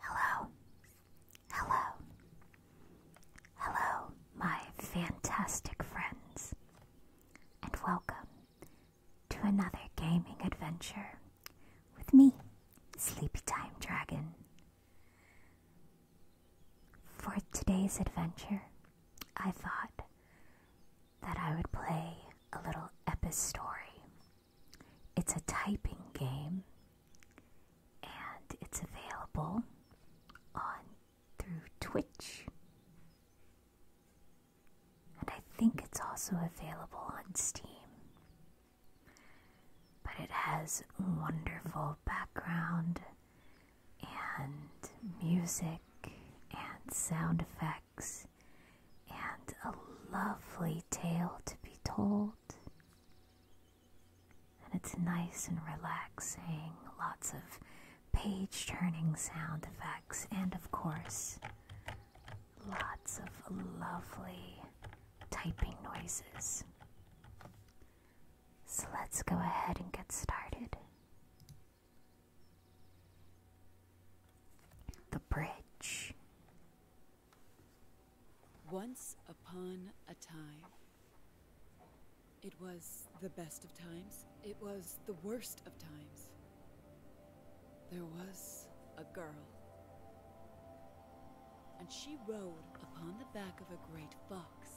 Hello, hello, hello, my fantastic friends, and welcome to another gaming adventure with me, Sleepy Time Dragon. For today's adventure, I thought that I would play a little story. It's a typing game and it's available on through Twitch. And I think it's also available on Steam. But it has wonderful background and music and sound effects and a lovely tale to be told. And it's nice and relaxing, lots of page turning sound effects, and of course, lots of lovely typing noises. So let's go ahead and get started. The Bridge. Once upon a time, it was the best of times, it was the worst of times. There was a girl and she rode upon the back of a great fox.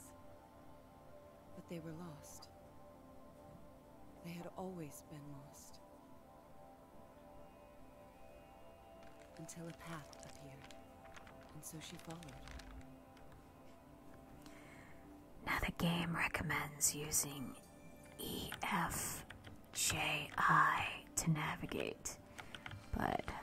But they were lost. They had always been lost. Until a path appeared, and so she followed. Now the game recommends using EFJI to navigate, but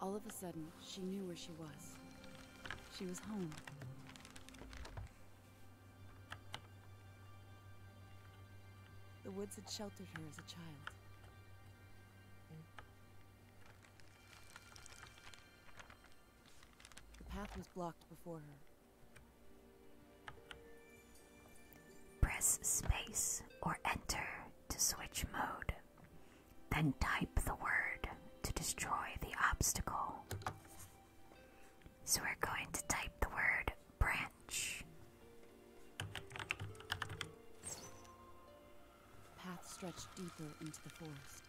All of a sudden, she knew where she was. She was home. The woods had sheltered her as a child. The path was blocked before her. Press space or enter to switch mode. Then type the word to destroy the obstacle. So we're going to type the word branch. Path stretched deeper into the forest.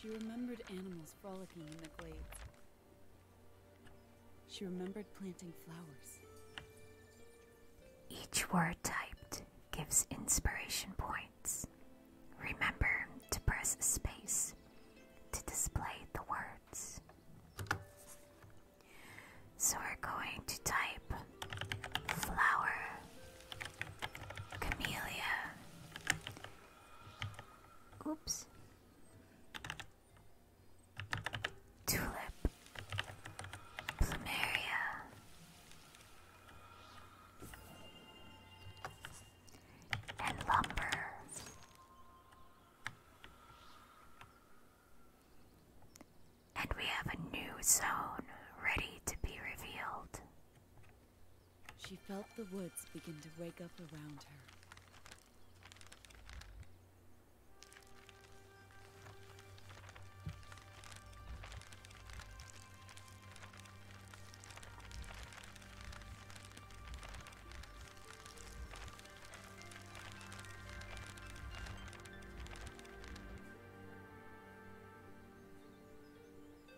She remembered animals frolicking in the glades. She remembered planting flowers. Each word typed gives inspiration points. Remember to press space to display the words. So we're going to type flower, camellia, oops, Tulip Plumeria and Lumber. And we have a new zone ready to be revealed. She felt the woods begin to wake up around her.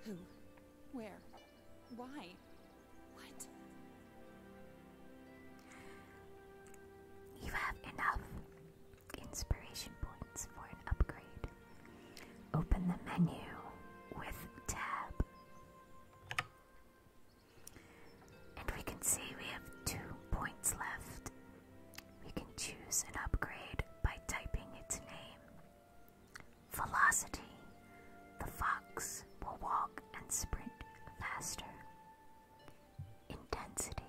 Who? Where? Why? What? You have enough inspiration points for an upgrade. Open the menu with tab. And we can see we have two points left. We can choose an upgrade by typing its name. Velocity. The fox will walk and sprint faster intensity.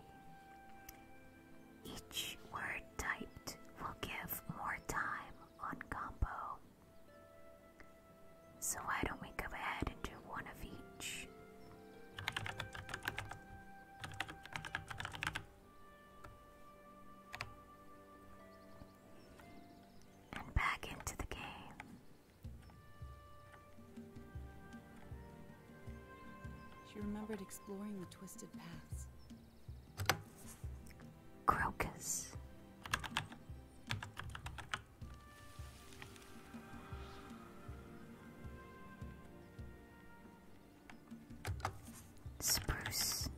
Each word typed will give more time on combo. So, why don't we go ahead and do one of each? And back into the game. She remembered exploring the twisted paths. Crocus. Spruce.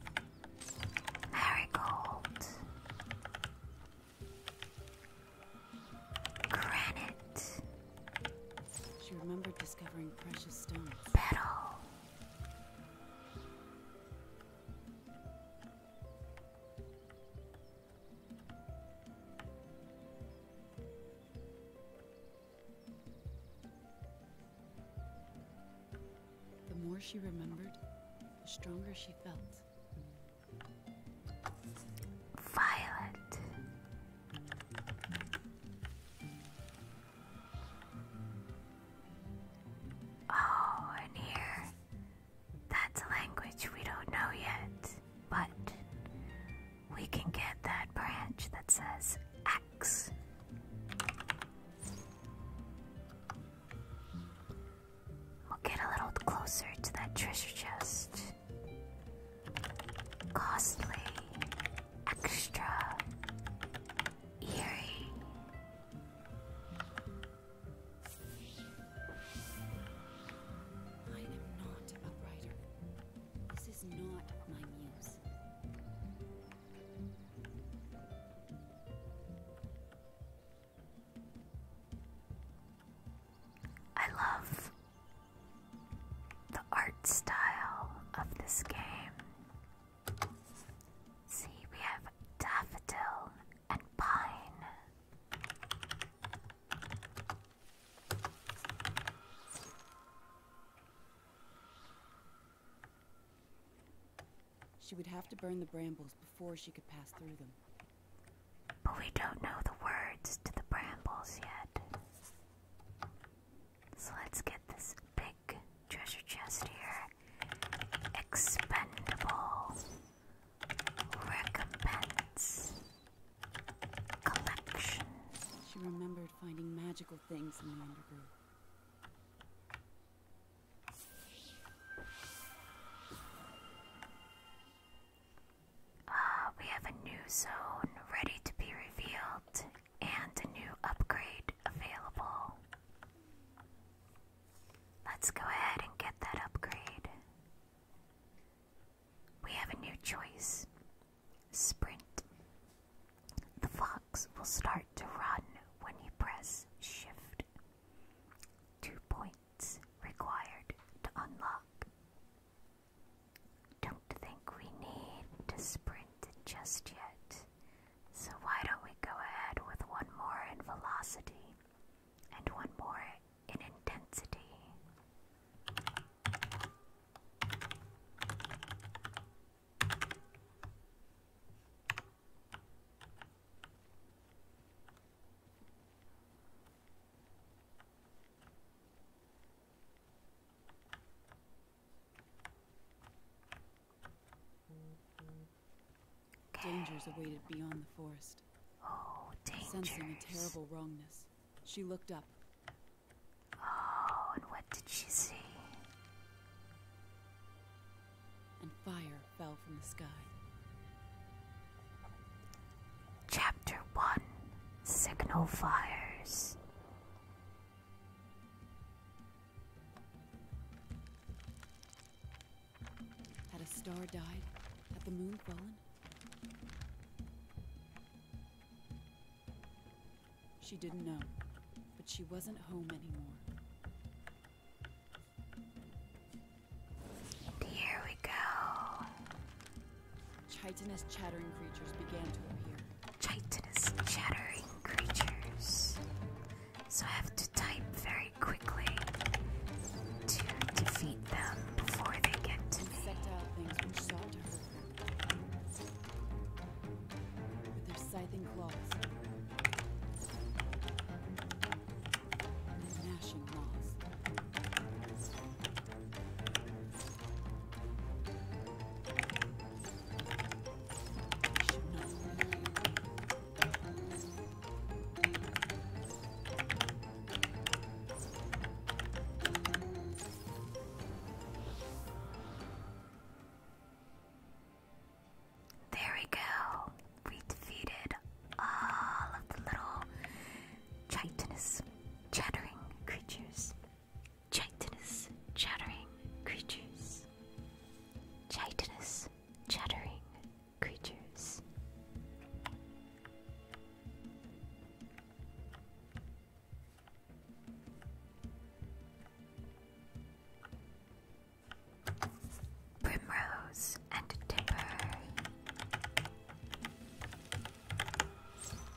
Marigold. Granite. She remembered discovering precious stones. Metal. The more she remembered, the stronger she felt. Violet. Oh, and here. That's a language we don't know yet, but we can get that branch that says X. We'll get a little closer to that treasure chest. Costly, extra, eerie. I am not a writer. This is not my muse. I love the art style of this game. See, we have daffodil and pine. She would have to burn the brambles before she could pass through them. But we don't know the words to the brambles yet. So let's get this big treasure chest here. Expendable recompense collection. She remembered finding magical things in the undergrowth. Uh, we have a new zone ready to be revealed and a new upgrade available. Let's go ahead and get that upgrade. We have a new choice Sprint. The fox will start to run when you press Shift. Two points required to unlock. Don't think we need to sprint just yet, so why don't we go ahead with one more in velocity and one more in intensity? Dangers awaited beyond the forest. Oh, dangers. Sensing a terrible wrongness, she looked up. Oh, and what did she see? And fire fell from the sky. Chapter 1 Signal Fires Had a star died? Had the moon fallen? She didn't know, but she wasn't home anymore. here we go. Chitinous chattering creatures began to appear. Chitinous chattering creatures. So I have to type very quickly to defeat them before they get to me. Insectile things which sought With their scything claws. and Their gnashing claws. There we go. We defeated all of the little chitinous chattering creatures. Chitinous chattering creatures. Chitinous chattering creatures. Primrose and Timber.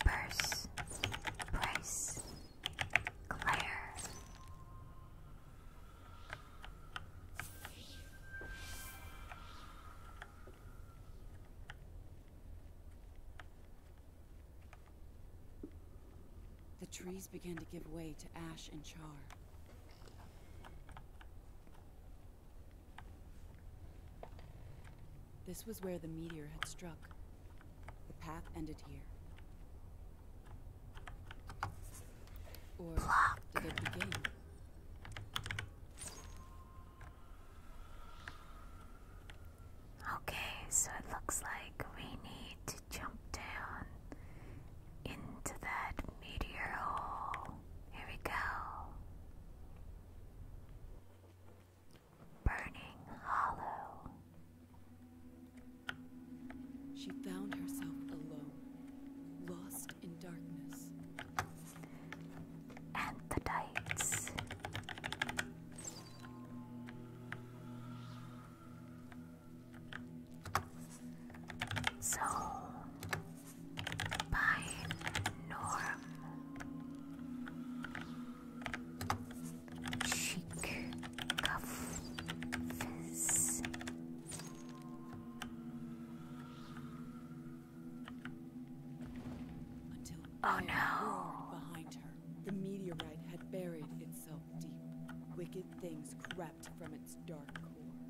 Purse, Price, Claire. The trees began to give way to ash and char. This was where the meteor had struck. The path ended here. Or did it begin? Okay, so it looks like we need to jump down into that meteor hole. Here we go. Burning Hollow. She found herself alone, lost in darkness. And Zone by Norm oh, Behind her, the meteorite had buried itself deep. Wicked things crept from its dark core.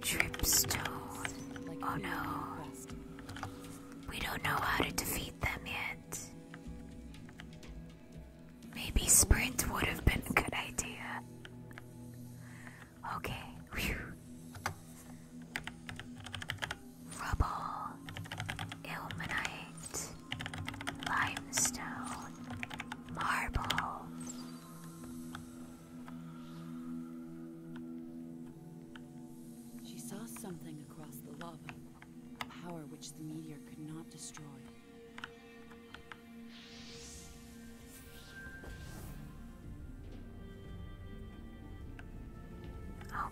Tripstone. Oh no. We don't know how to defeat them yet. Maybe sprint would have been a good idea. Okay. Rubble. Ilmenite. Limestone. Marble. She saw something across the lava, a power which the meteor could not destroy.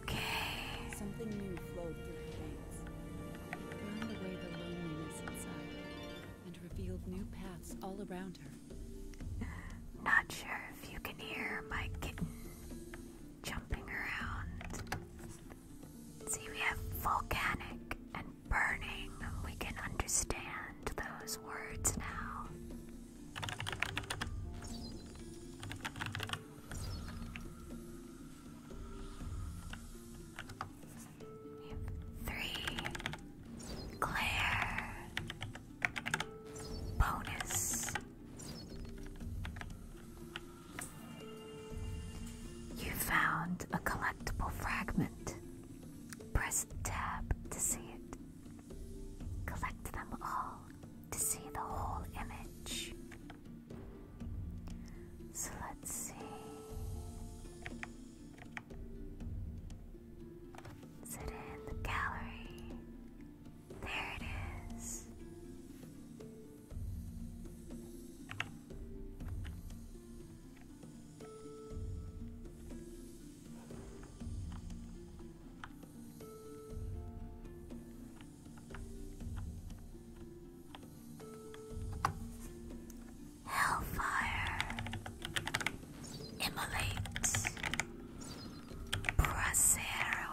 Okay. Something new flowed through her veins, burned away the loneliness inside and revealed new paths all around her. Not sure if you can hear my kitten jumping around. See, we have volcanic and burning. We can understand those words now. Three Claire bonus. You found a collectible fragment. Press tab to see it. Collect them all to see the whole image. So let's see. Sit in the gallery. There it is. Hellfire, Immolate, Bracero.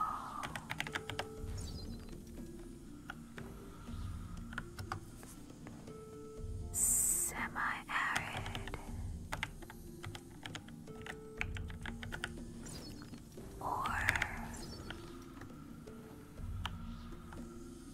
Semi-arid or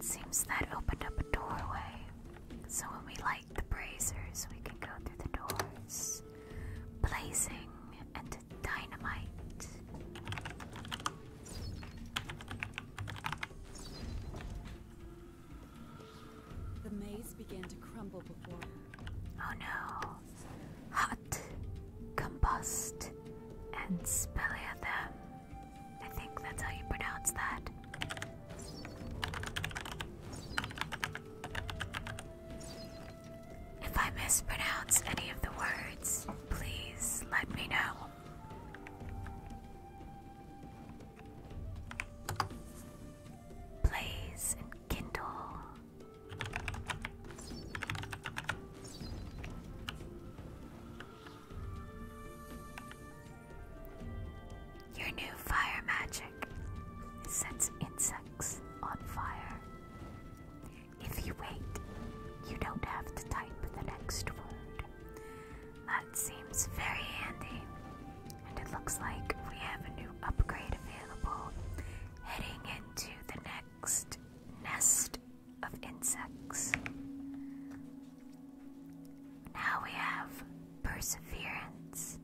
Seems that opened up a doorway. So when we light the brazers, we can go through the doors. Blazing and dynamite. The maze began to crumble before her. Oh no. Hot, combust, and spelliathem. I think that's how you pronounce that. If I mispronounce any of the words, please let me know. Blaze and kindle. Your new fire magic sets insects on fire. If you wait, you don't have to type the next word. That seems very handy. And it looks like we have a new upgrade available heading into the next nest of insects. Now we have Perseverance.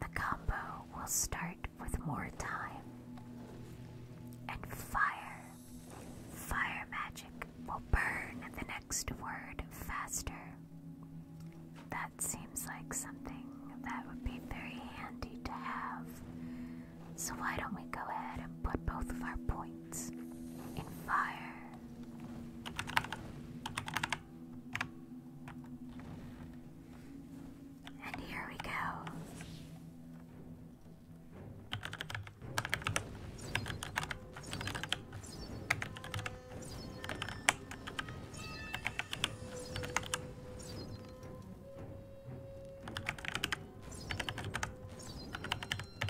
The combo will start with more time. And fire. Fire magic will burn the next word faster. That seems like something that would be very handy to have. So why don't we go ahead and put both of our points in fire and here we go.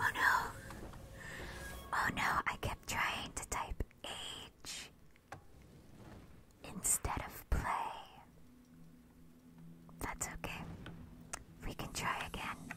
Oh no. Oh no, I kept trying to type H instead of play. That's okay. We can try again.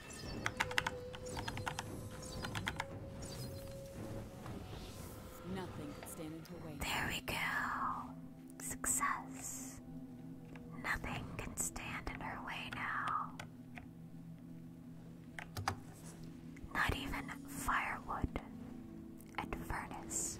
There we go. Success. Nothing can stand in her way now. Not even firewood and furnace.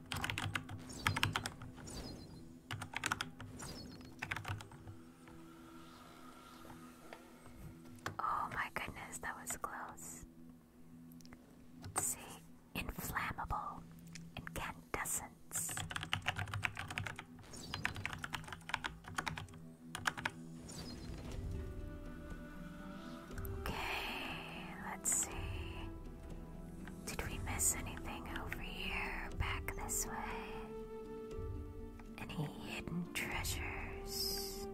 Oh my goodness, that was close. see. Inflammable incandescence. Okay, let's see. Did we miss anything over here? Back this way? Any hidden treasures?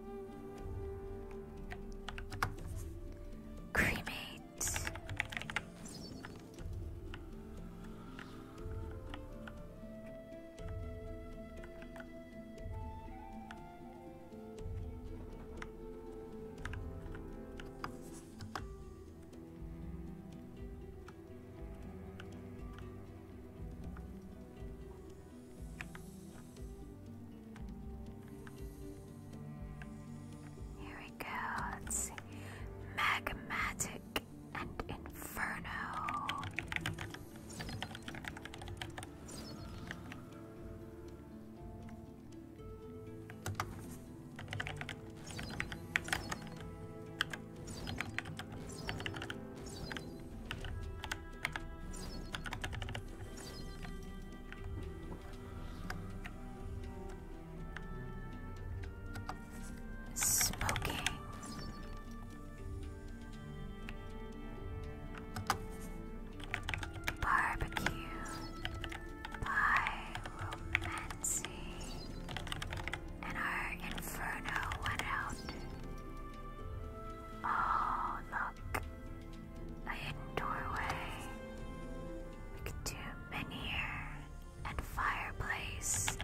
Cremate. Here we go. Let's see. Magmatic and Inferno. Smoking. Barbecue by Romancy, and our inferno went out. Oh, look, a hidden doorway. We could do menhir and fireplace.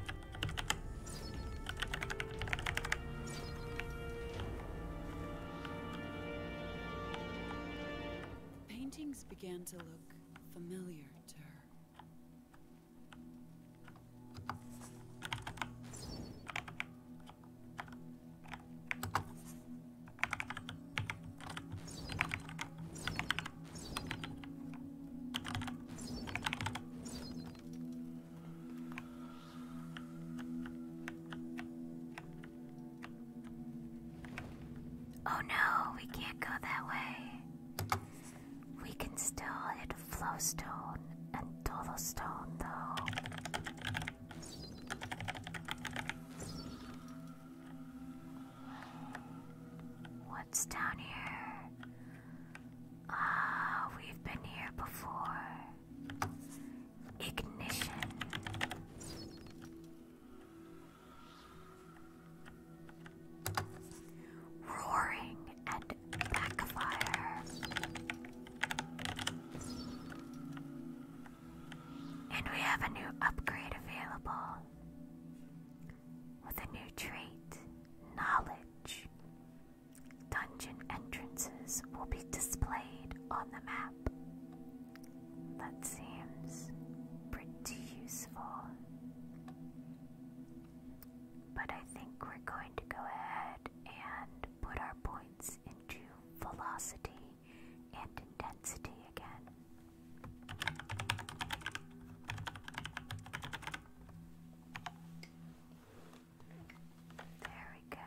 Paintings began to look familiar to her. Oh no, we can't go that way. We can still hit Flowstone and Dolostone, though. What's down here? Ah, we've been here before. Ignition. Roaring and backfires. And we have a new upgrade available with a new trait, knowledge. Dungeon entrances will be displayed on the map. That seems pretty useful. But I think we're going to go ahead and put our points into velocity and intensity again. There we go.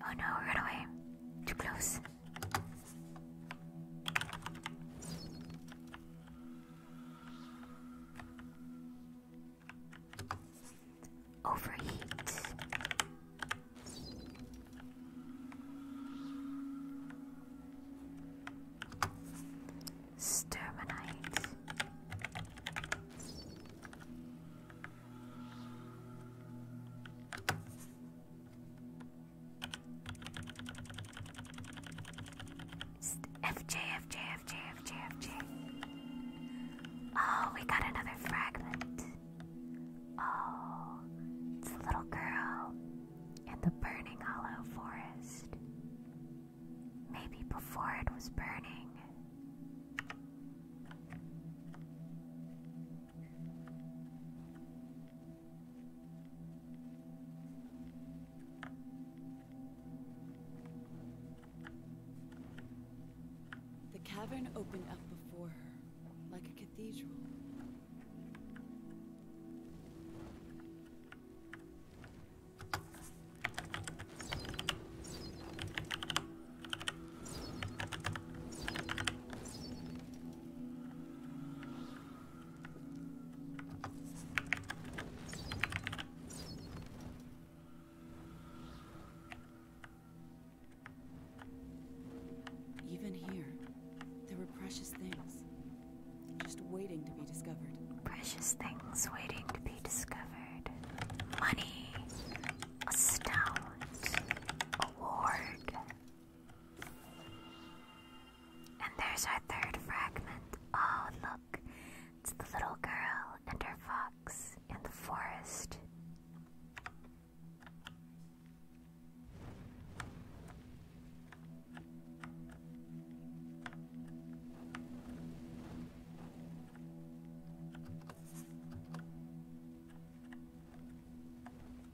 Oh no, run away. Too close. Overheat. Stermanite. FJ, FJ, FJ, FJ, FJ. Oh, we got another fragment. Oh, it's a little girl in the burning hollow forest. Maybe before it was burning, the cavern opened up before her, like a cathedral. Even here, there were precious things just waiting to be discovered. Precious things waiting to be discovered. Money, Stout Award. And there's our third fragment. Oh, look, it's the little girl and her fox in the forest.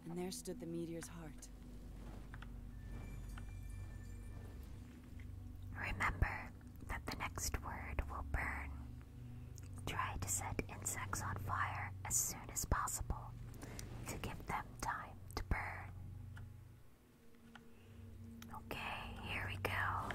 And there stood the meteor's heart. Remember that the next word will burn. Try to set insects on fire as soon as possible to give them time to burn. Okay, here we go.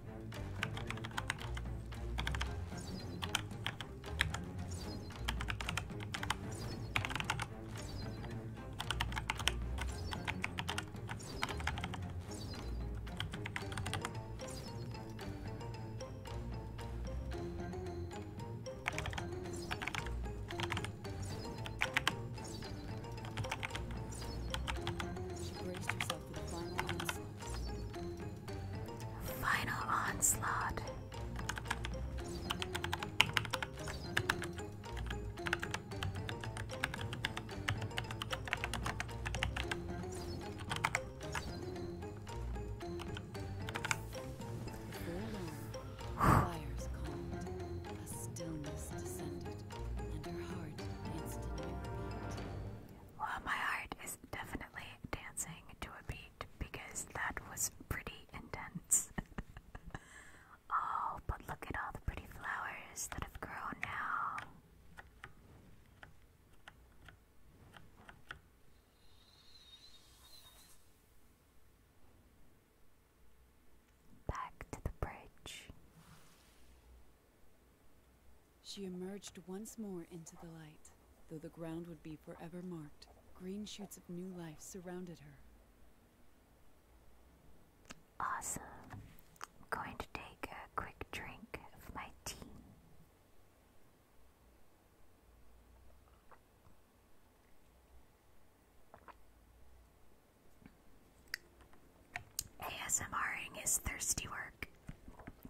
braced herself final onslaught. fires calmed, a stillness descended, and her heart instantly beat. Well, my heart is definitely dancing to a beat because that was pretty intense. oh, but look at all the pretty flowers that have grown now. Back to the bridge. She emerged once more into the light, though the ground would be forever marked. Green shoots of new life surrounded her. Awesome. I'm going to take a quick drink of my tea. ASMRing is thirsty work.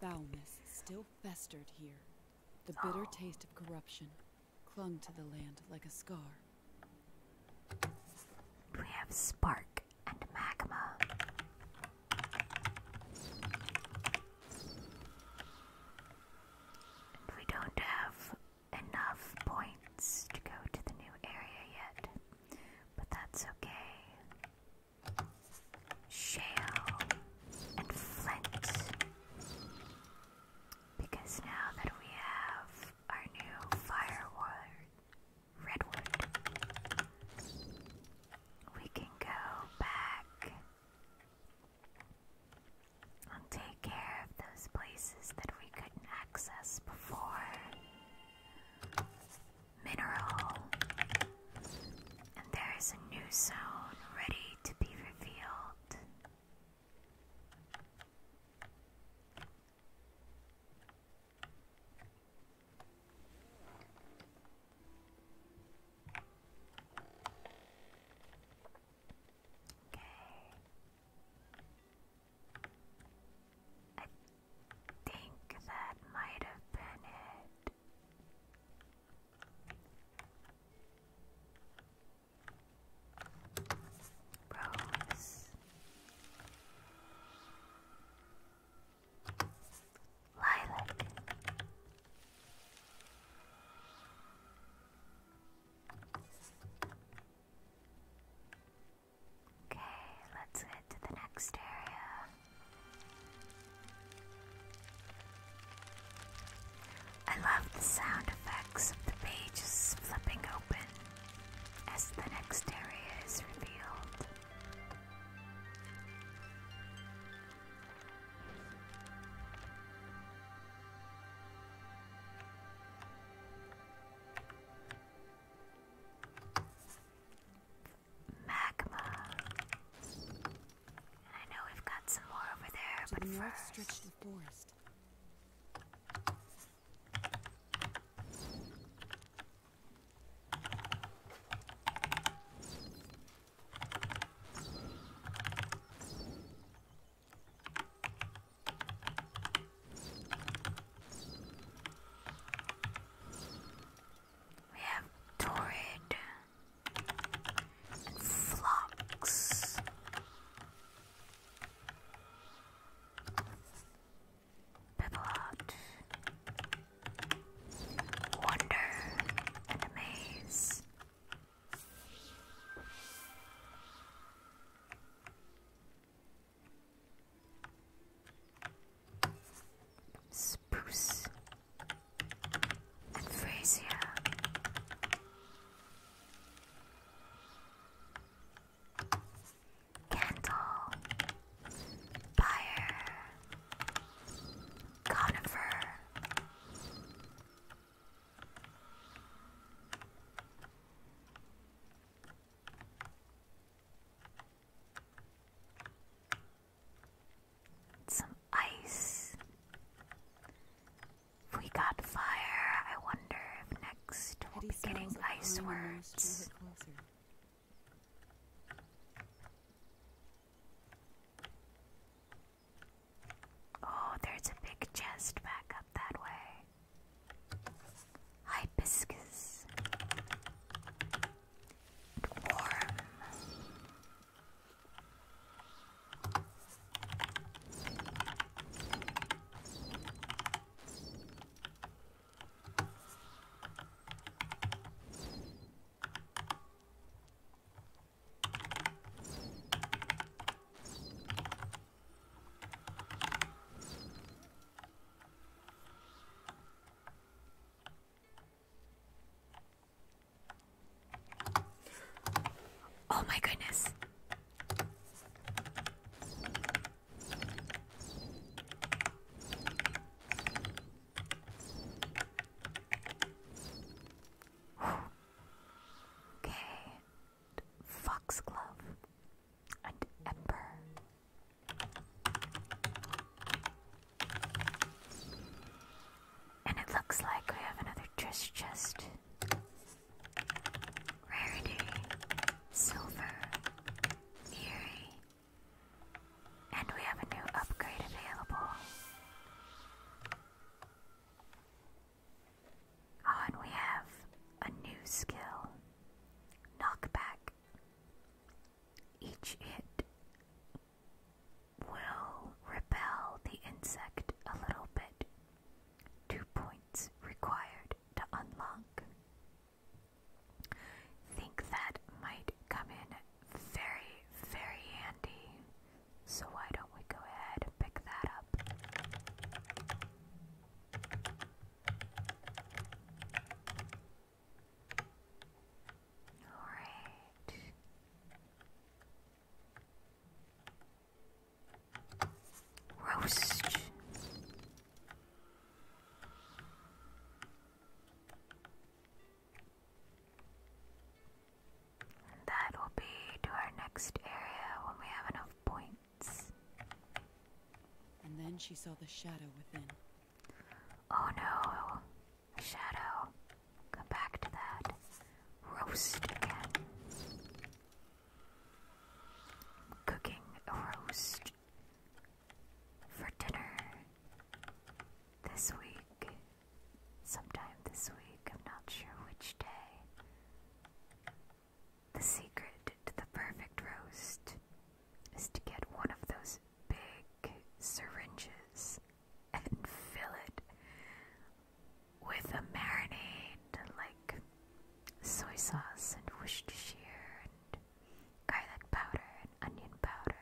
Foulness still festered here. The bitter taste of corruption clung to the land like a scar. We have spark and magma. we don't have enough points to go to the new area yet, but that's okay shale, and flint. Because now that we have our new firewood, redwood, we can go back and take care of those places that we couldn't access before mineral. And there is a new zone ready to be revealed think that might have been it. Rose. Lilac. Okay, let's get to the next area. I love the sound effects of the pages flipping open as the next area is revealed magmas. I know we've got some more over there, but the first. Stretch the forest. We have Torrid, flops, Pipilot, Wonder, and Amaze. Spruce and Candle, Fire, Conifer, some ice. we got fire, I wonder if next we'll getting ice words. Oh, there's a big chest back up that way. Hibiscus warm. Oh my goodness. okay. Foxglove and Ember. And it looks like we have another dress chest. Rarity, silver, eerie. And we have a new upgrade available. Oh, and we have a new skill knockback. Each hit will repel the insect a little bit. Two points required to unlock. Think that might come in very, very handy. So why don't we go ahead and pick that up? Alright. Roast. that will be to our next area when we have enough points. And then she saw the shadow within. Oh no, shadow. Go back to that. Roast again. Cooking a roast for dinner this week. Sometime this week, I'm not sure which day. The secret to the perfect roast is to get one of those big syringes and fill it with a marinade like soy sauce and Worcestershire and garlic powder and onion powder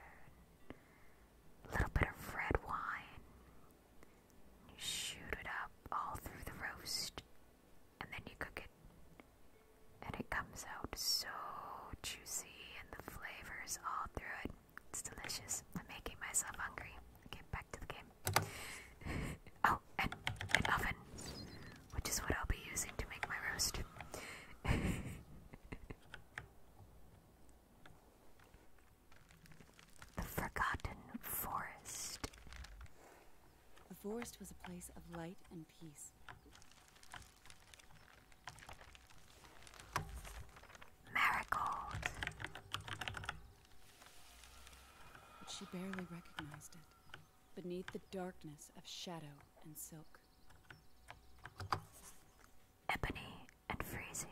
and a little bit of red wine. You shoot it up all through the roast and then you cook it. And it comes out so juicy and the flavors all through it. It's delicious. I'm making myself hungry. Get back to the game. oh, and an oven, which is what I'll be using to make my roast. the Forgotten Forest. The forest was a place of light and peace. Marigold. she barely recognized it, beneath the darkness of shadow and silk. Ebony and Frisia.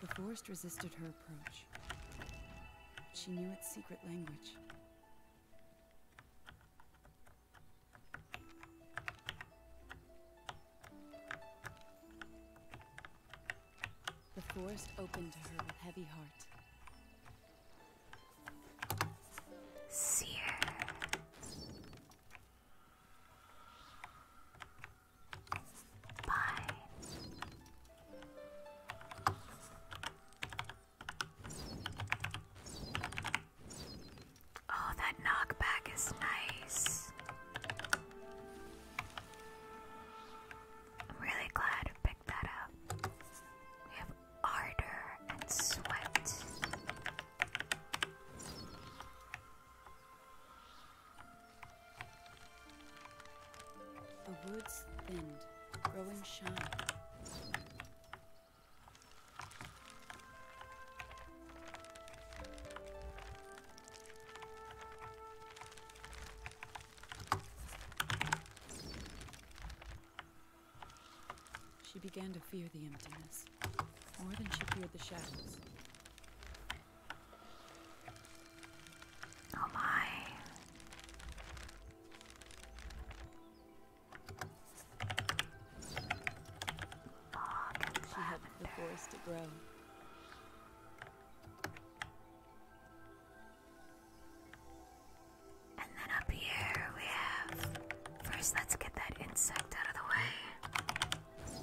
The forest resisted her approach. She knew its secret language, the forest opened to her with heavy heart. Seer. Pine. Oh, that knockback is nice. I'm really glad I picked that up. We have ardor and sweat. The woods thinned grow shine. She began to fear the emptiness, more than she feared the shadows. Oh my. She helps the forest grow. And then up here we have. First, let's get that insect out of the way.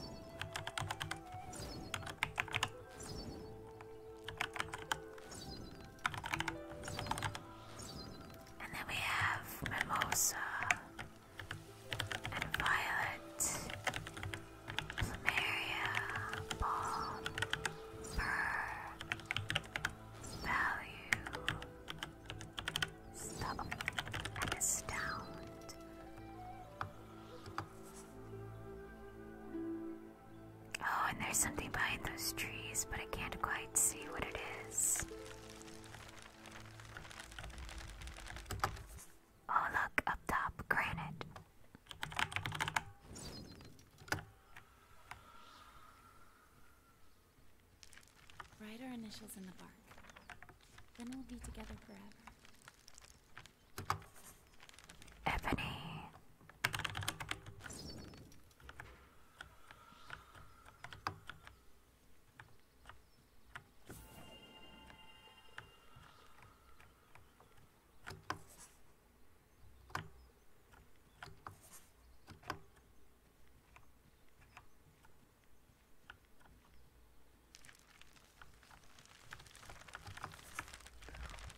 And then we have Mimosa and Violet, Plumeria, Balm, Burr, Value, Stop, and Astound. Oh, and there's something behind those trees, but I can't quite see what it is. Oh, look, up top, granite. Write our initials in the bark. Then we'll be together forever. Ebony.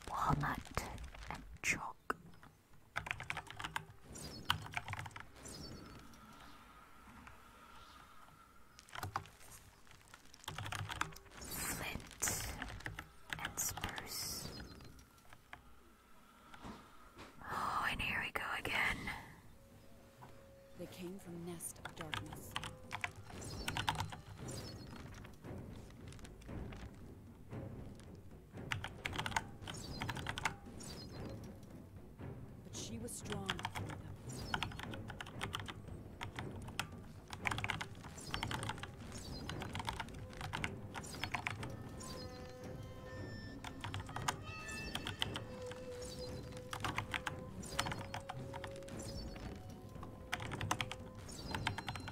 Walnut and chalk Flint and spruce. Oh, and here we go again. They came from Nest of Darkness. But she was strong.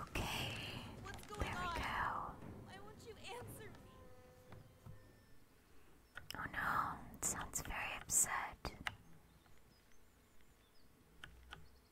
Okay. What's going there on? Why won't you answer me? Oh no, it sounds very upset. Okay,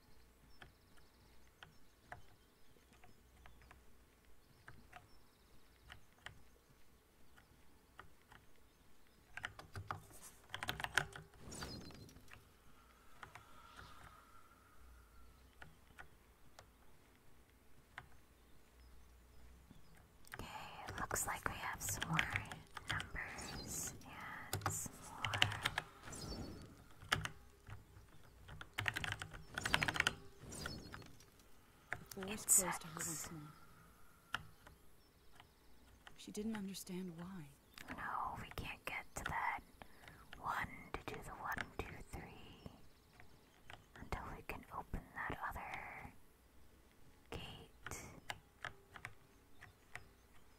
it looks like we have some more numbers and more she didn't understand why. No, we can't get to that one to do the one, two, three until we can open that other gate.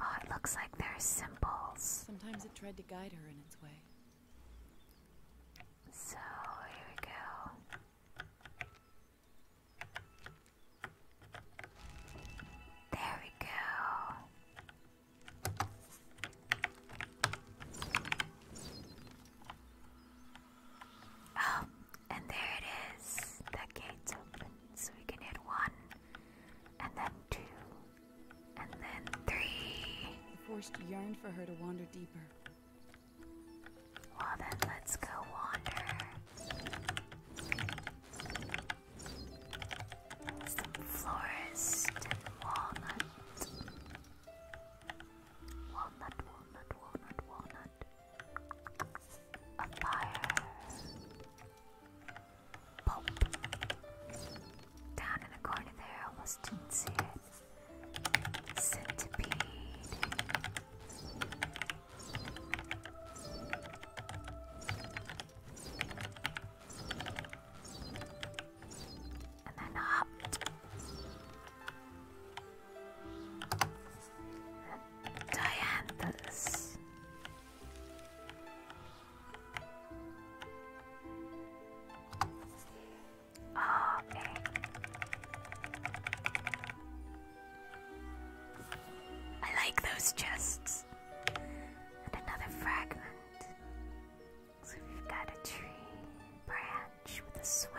Oh, it looks like there are symbols. Sometimes it tried to guide her in its way. So, here we go. There we go. Oh, and there it is. The gate's open, so we can hit one and then two, and then three. The forest yearned for her to wander deeper. Well, then let's go wander. Some florist and walnut. Walnut, walnut, walnut, walnut. A fire. Down in the corner there, I almost didn't see it. Centipede. And then up. Dianthus okay. I like those chests. And another fragment. So we've got a tree branch with a swing.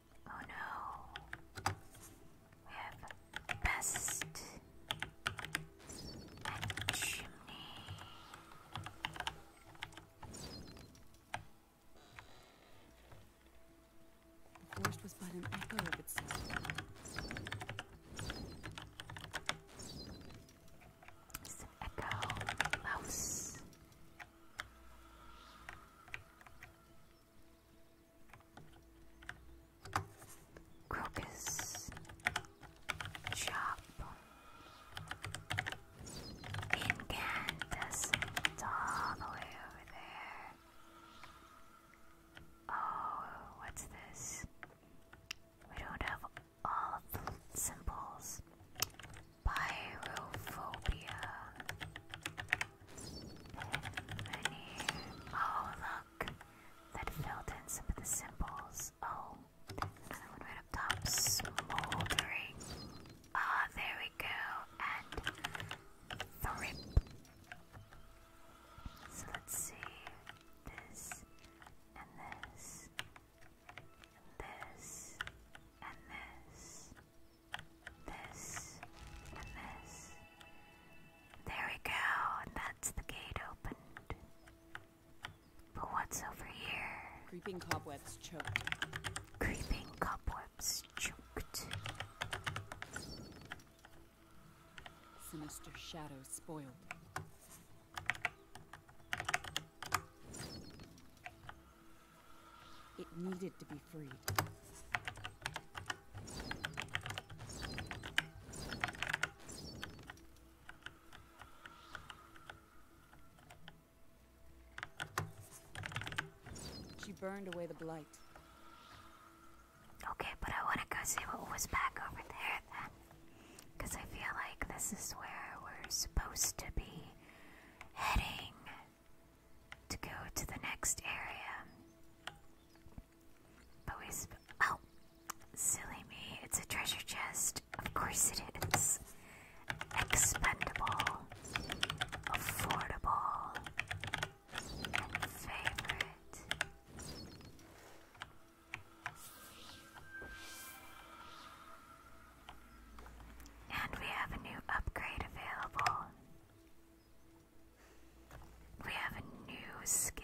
Oh no. We have pest chimney. The forest was but an echo of It's echo mouse. Crocus Chop Incandescent all the way over there. Oh, what's this? We don't have all the symbols. Pyrophobia. Oh, look. That filled in some of the symbols. Oh, another one right up top. Smoldering. Ah, there we go. And thrip. So let's see. This, and this, and this, and this this, and this. There we go, and that's the gate opened. But what's over here? Creeping cobwebs choked. Creeping cobwebs choked. Sinister shadows spoiled. It needed to be freed. She burned away the blight. Okay, but I want to go see what was back over there then. I feel like this is where we're supposed to be heading to go to the next area. But we. oh! Silly me, it's a treasure chest. Of course it is. Expendable, affordable, and favorite. And we have a new upgrade available. We have a new skill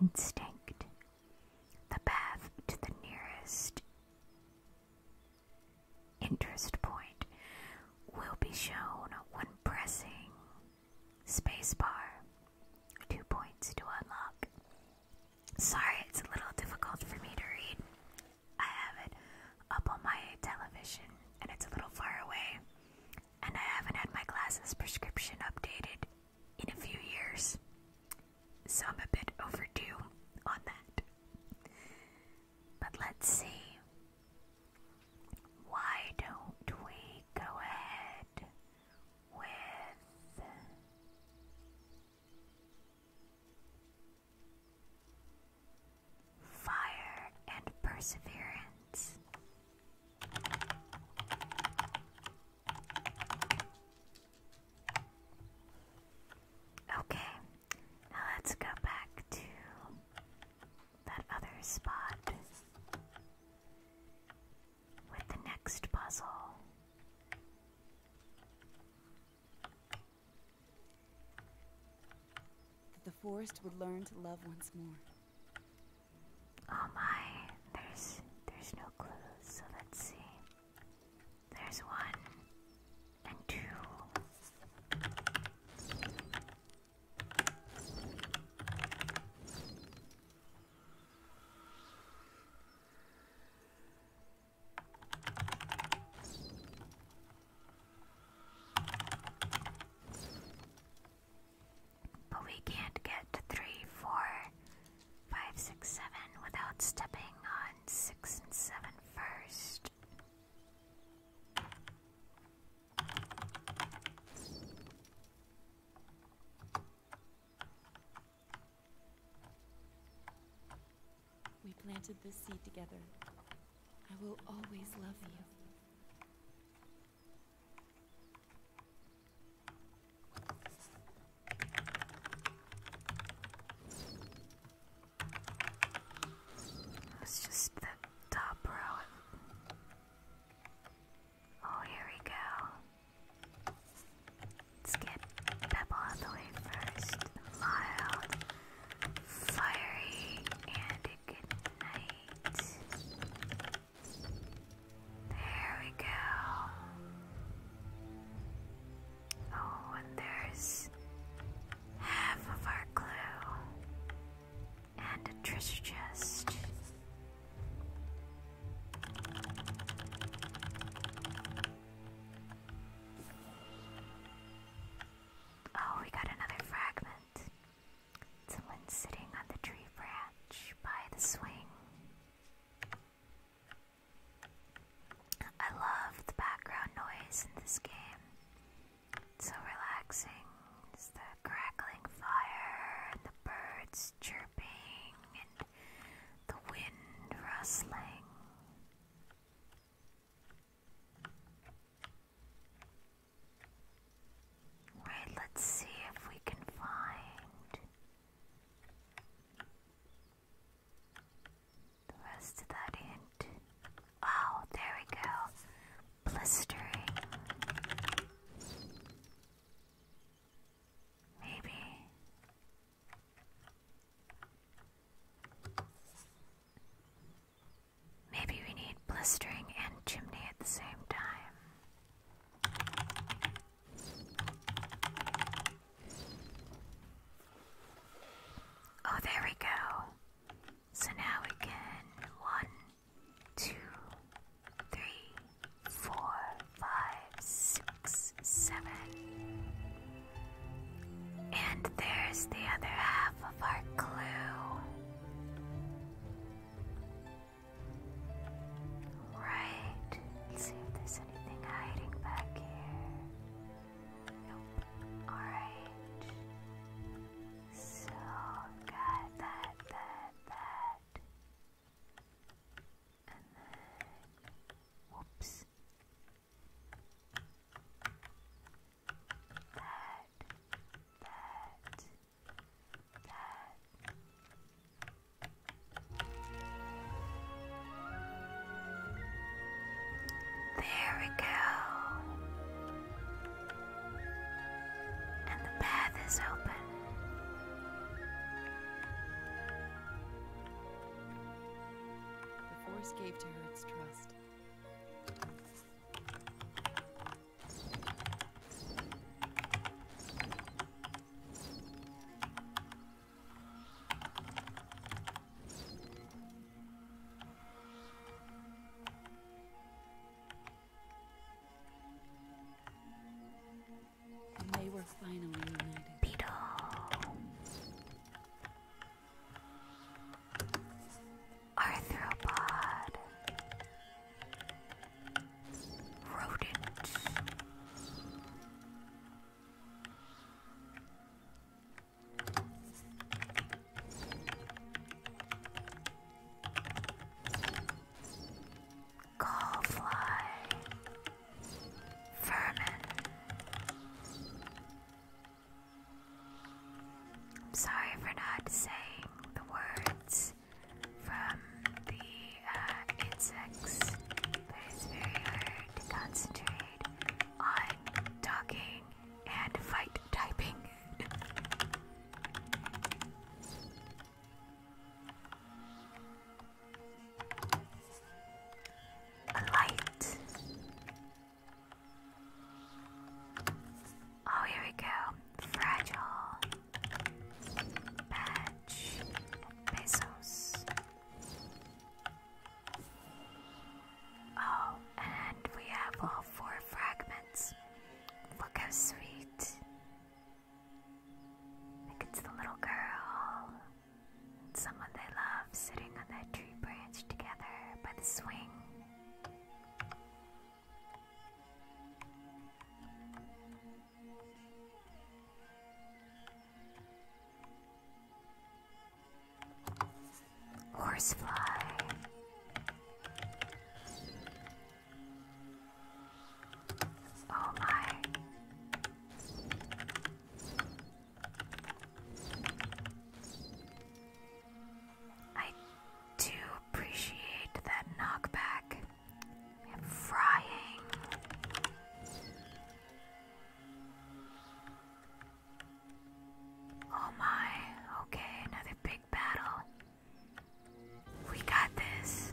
Instinct. The path to the nearest interest point will be shown when pressing spacebar. Two points to unlock. Sorry, it's a little difficult for me to read. I have it up on my television and it's a little far away. And I haven't had my glasses prescription updated in a few years. So I'm a bit overdue on that. But let's see. Why don't we go ahead with. Fire and perseverance. Okay, now let's go back to that other spot with the next puzzle. That the forest would learn to love once more. Oh my, there's there's no clues, so let's see. There's one and two. But we can't get three, four, five, six, seven without stepping on six and seven first. We planted this seed together. I will always love you. It's just the top row. Oh, here we go. Let's get Pebble out the way first. Mild fiery and a good night. There we go. Oh, and there's half of our clue and a treasure chest. Oh, we got another fragment. Someone sitting on the tree branch by the swing. I love the background noise in this game. so relaxing. It's the crackling fire and the birds chirping and the wind rustling. Right, let's see if we can find the rest of that hint. Oh, there we go. Blistering. Maybe. Maybe we need blistering and chimney at the same time. Oh, there we go. So now we can one, two, three, four, five, six, seven. And there's the other half of our clue. Right. see if there's anything hiding back here. Nope. Alright. So, got that, that, that. And then. Whoops. There we go. And the path is open. The force gave to her its trust. They were finally united. Beetle. Arthropod Rodent Gallfly Vermin I'm sorry for not saying the words from the uh, insects, but it's very hard to concentrate on talking and fight typing. A light. Oh, here we go. Fragile. Badge. Pesos. Oh, and we have all four fragments. Look how sweet. it's the little girl someone they love sitting on that tree branch together by the swing. Horsefly. Oh my. I do appreciate that knockback and frying. Oh my, okay, another big battle. We got this.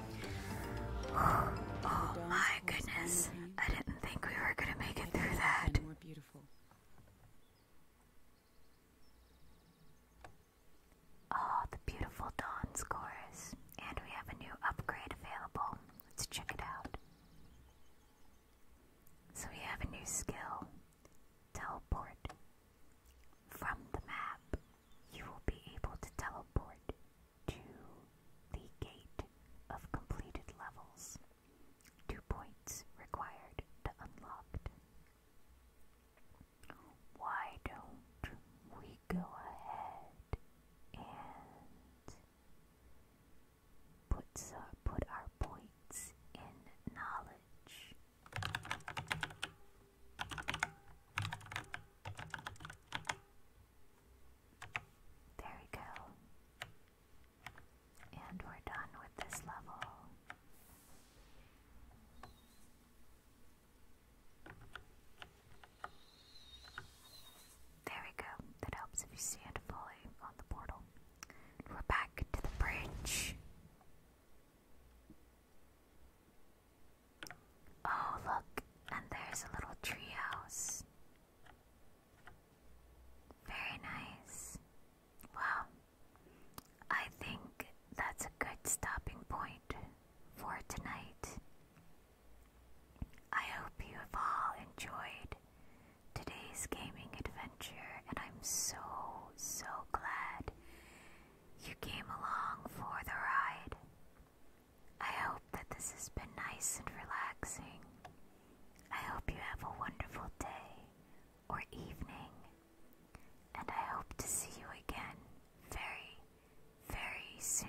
Oh my goodness. I didn't think we were going to make it through that. Oh, the beautiful Dawn's chorus. And we have a new upgrade available. Let's check it out. So we have a new skill teleport. From the map, you will be able to teleport to the gate of completed levels. Two points required to unlock. Why don't we go ahead and put, so, put our points in knowledge? There we go. And we're done with this level. There we go. That helps if you stand fully on the portal. We're back to the bridge. Oh, look, and there's a little treehouse. Very nice. Wow. I think that's a good stopping point for tonight. I hope you have all enjoyed today's gaming adventure, and I'm so, so glad you came along for the ride. I hope that this has been nice and relaxing. I hope you have a wonderful day or evening, and I hope to see you again very, very soon.